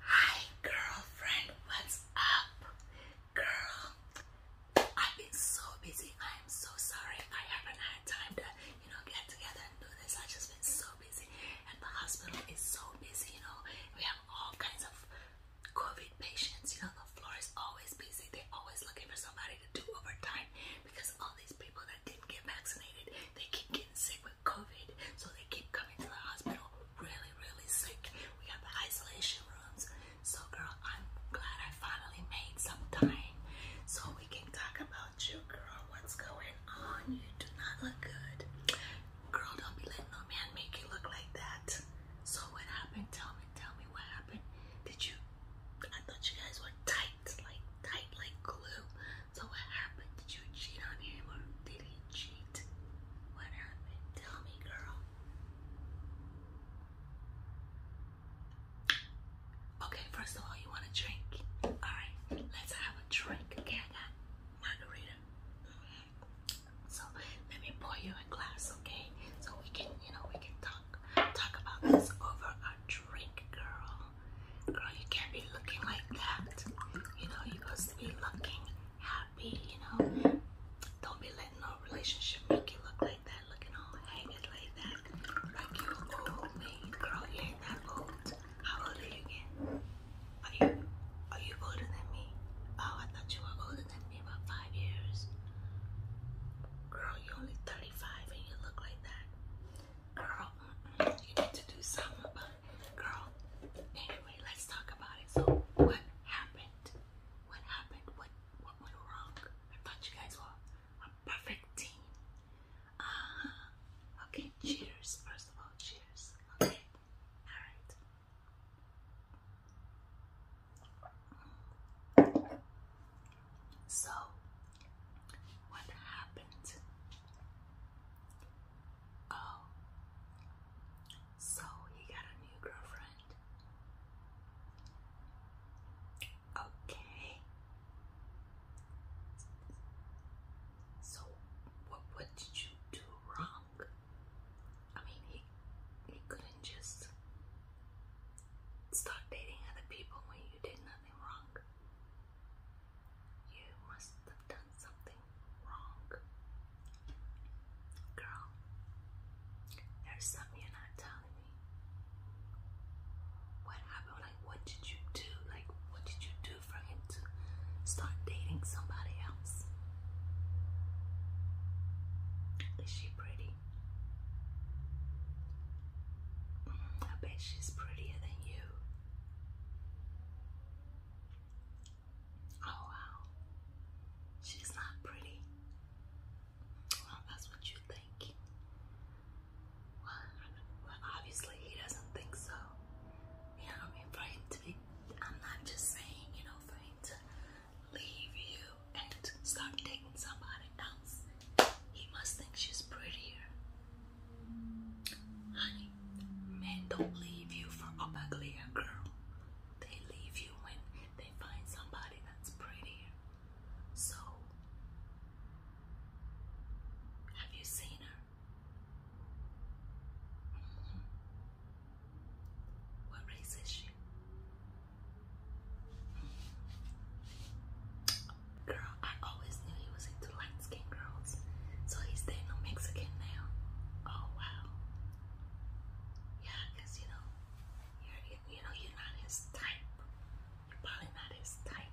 Hi girlfriend, what's up? Girl, I've been so busy. I am so sorry. I haven't had time to, you know, get together and do this. I've just been so busy. And the hospital is so busy, you know. We have all kinds of COVID patients, you know, the floor is always busy. They're always looking for somebody to do overtime because all these people that didn't get vaccinated they keep getting sick with COVID, so they keep coming to the hospital really, really sick. We have the isolation rooms. So, girl, I'm glad I finally made some time so we can talk about you, girl. What's going on? You do not look good. Girl, don't be letting no man make you look like that. So, what happened? Tell me, tell me what happened. Did you? I thought you guys were tight, like tight, like glue. So what happened? Did you cheat on him or did he cheat? What happened? Tell me, girl. Okay, first of all, you want a drink? Alright, let's have a drink. Okay, I got margarita. So let me pour you a glass, okay? So we can, you know, we can talk talk about this over our drink, girl girl, you can't be looking like that. You know, you're supposed to be looking happy, you know. Don't be letting no relationship make you look like that, looking all haggard like that. Like you old me. Girl, you ain't that old. How old are you Are you are you older than me? Oh, I thought you were older than me about five years. Girl, you're only 35 and you look like that girl, you need to do something Girl, anyway, let's talk about it. So, what happened? What happened? What, what went wrong? I thought you guys were a perfect team. Uh, okay, cheers. First of all, cheers. Okay, alright. So, what happened? Oh. So he got a new girlfriend. Okay. So what what did you do wrong? I mean he he couldn't just start dating other people when you did nothing wrong. You must have done something wrong. Girl, there's something you're not telling me. What happened? Like, what did you do? Like, what did you do for him to start dating somebody else? Is she pretty? Mm, I bet she's prettier than you. Oh wow, she's not pretty. Well, that's what you think. Well, well, obviously he doesn't think so. You know For him to I'm not just saying, you know, for him to leave you and start dating somebody else. He must think she's prettier. Honey, men don't leave you for a uglier girl. They leave you when they find somebody that's prettier. So, have you seen her? Mm-hmm. What race is she? Mm-hmm. Girl, I always knew he was into light-skinned girls. So he's dating a Mexican now. Oh wow. Yeah, cause you know, you're you know you're not his type. You're probably not his type.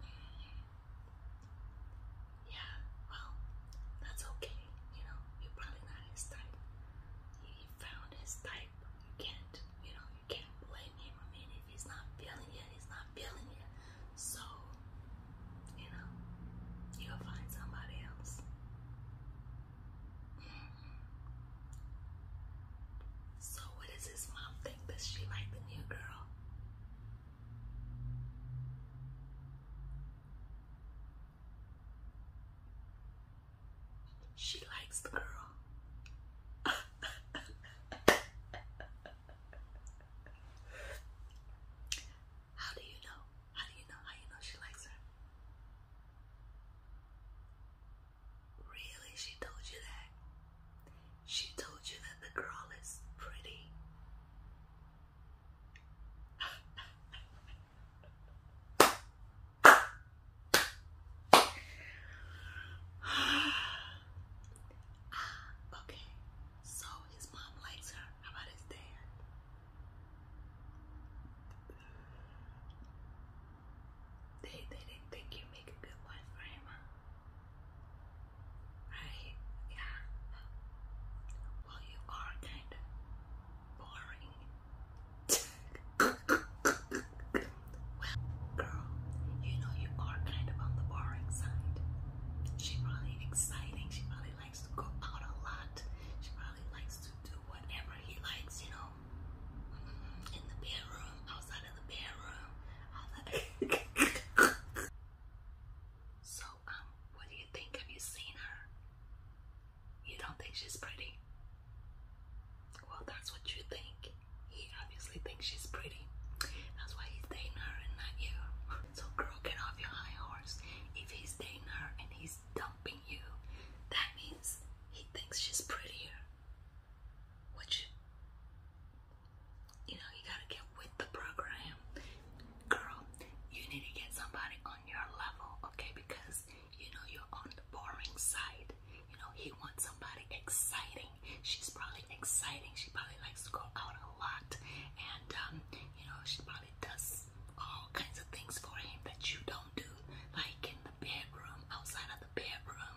Mm. Yeah, well, that's okay. You know, you're probably not his type. He found his type. You can't, you know, can't blame him. I mean, if he's not feeling it, he's not feeling it. So, you know, you'll find somebody else. Mm-hmm. So, what does his mom think? Does she like the new girl? She likes the girl. How do you know? How do you know? How you know she likes her? Really? She told you that? She told you that the girl is pretty. ah, okay. So his mom likes her. How about his dad? They they didn't think you make a good wife for Right? Yeah. Well, you are kind of boring. Well, girl, you know you are kind of on the boring side. She probably exciting. She probably likes to go out a lot. She probably likes to do whatever he likes, you know, mm-hmm. in the bedroom, outside of the bedroom. Outside so, um, what do you think? Have you seen her? You don't think she's pretty? Well, that's what you think he obviously thinks she's pretty. That's why he's dating her and not you. So girl, get off your high horse. If he's dating her and he's dumping you, that means he thinks she's prettier. Which you know, you gotta get with the program. Girl, you need to get somebody on your level, okay? Because you know you're on the boring side. You know, he wants somebody exciting. She's probably exciting. She probably likes to go out a lot. And, um, you know, she probably does all kinds of things for him that you don't do. Like in the bedroom, outside of the bedroom.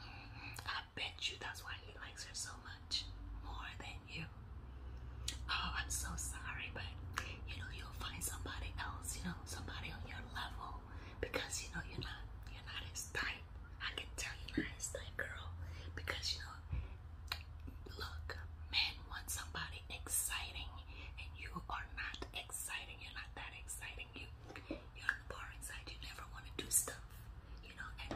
Mm, I bet you that's why he likes her so much. More than you. Oh, I'm so sorry, but, you know, you'll find somebody else, you know, somebody on your level because you know you're not you're not his type. I can tell you're not as tight, girl. Because you know, look, men want somebody exciting, and you are not exciting. You're not that exciting. You you're on the boring side. You never want to do stuff, you know. And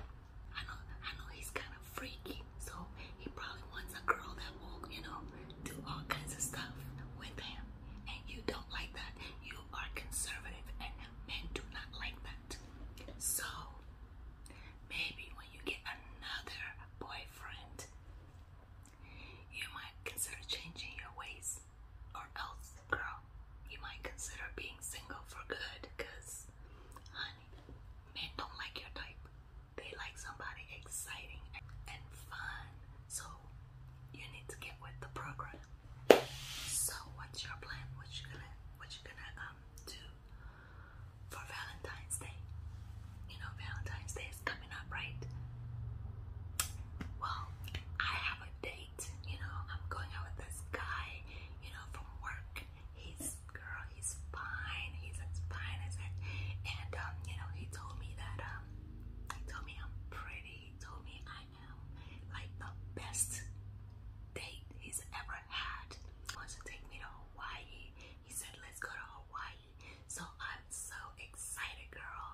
I know I know he's kind of freaky, so he probably wants a girl that will you know do all kinds of stuff with him, and you don't like that. You you are conservative and men do not like that. So maybe when you get another boyfriend, you might consider changing your ways, or else, girl, you might consider being single for good because, honey, men don't like your type. They like somebody exciting and fun. So, you need to get with the program. So what's your plan? What you gonna what you gonna um do for Valentine's Day? You know Valentine's Day is coming up, right? Well, I have a date, you know, I'm going out with this guy, you know, from work. He's girl, he's fine, he's as fine I said, And um, you know, he told me that um he told me I'm pretty, he told me I like the best date he's ever had. He wants to take me to Hawaii. He said, let's go to Hawaii. So I'm so excited, girl.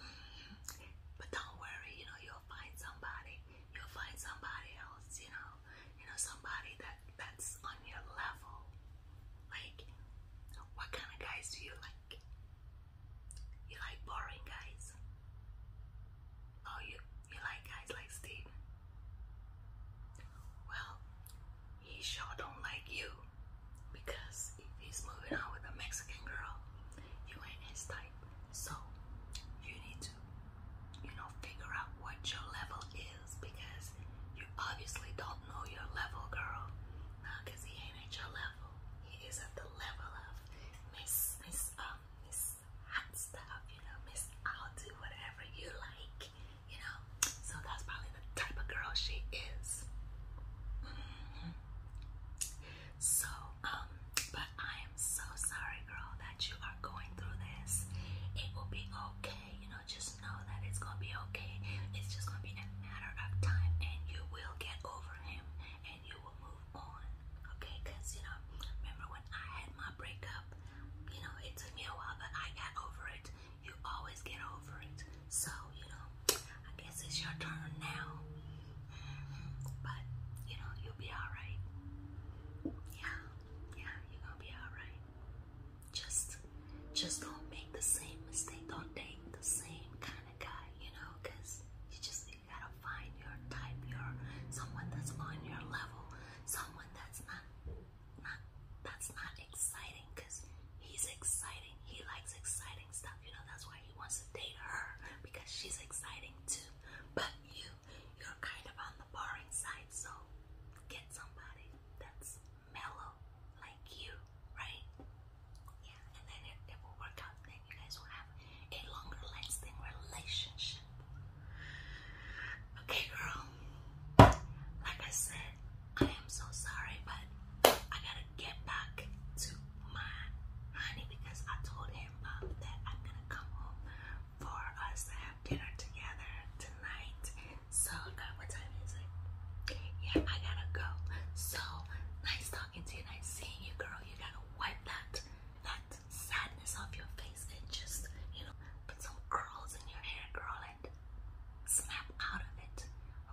Mm-hmm. But don't worry, you know, you'll find somebody. You'll find somebody else, you know. You know, somebody that that's on your level. Like, what kind of guys do you like? like? You like boring guys? Oh, you you like guys like Steven? Well, he sure don't like you because if he's moving on with a Mexican girl, you ain't his type. So you need to, you know, figure out what your level is because you obviously don't know your level, girl. cause he ain't at your level he is at the level of Miss Miss um Miss Hot Stuff, you know, Miss I'll do whatever you like, you know. So that's probably the type of girl she is. Mm-hmm. So, um, but I am so sorry, girl, that you are going through this. It will be okay, you know, just know that it's gonna be okay. It's just gonna be a matter of time and you will get over him and you will move on. Okay, because you know, remember when I had my breakup, you know, it took me a while, but I got over it. You always get over it. So, you know, I guess it's your turn now. Mm-hmm. But, you know, you'll be alright. Yeah, yeah, you're gonna be alright. Just just don't make the same mistake. Don't date the same kind kind of guy, you know, because you just you gotta find your type, your someone that's on your level, someone that's not not that's not exciting, because he's exciting. He likes exciting stuff, you know. That's why he wants to date her because she's exciting too. But you, you're kind of on the boring side, so get somebody that's mellow like you, right? Yeah, and then it, it will work out. Then you guys will have a longer lasting relationship. Okay, girl. Like I said, I am so sorry, but I gotta get back to my honey because I told him um, that I'm gonna come home for us to have dinner together tonight. So, what time is it? Yeah, I gotta go. So nice talking to you, nice seeing you, girl. You gotta wipe that that sadness off your face and just, you know, put some curls in your hair, girl, and snap out of it.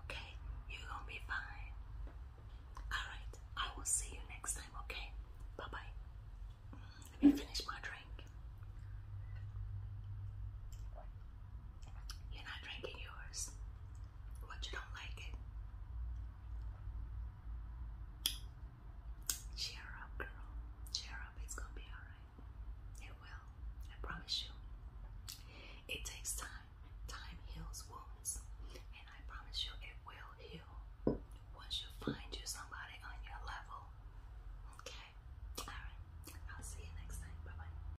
Okay? You're gonna be fine. Alright, I will see you next time, okay? Bye-bye. Let me finish my drink. You're not drinking yours. What you don't like it? Cheer up, girl. Cheer up. It's gonna be alright. It will. I promise you. It takes time. Time heals wounds. And I promise you it will heal. Once you find you somebody on your level. Okay? Alright. I'll see you next time. Bye bye.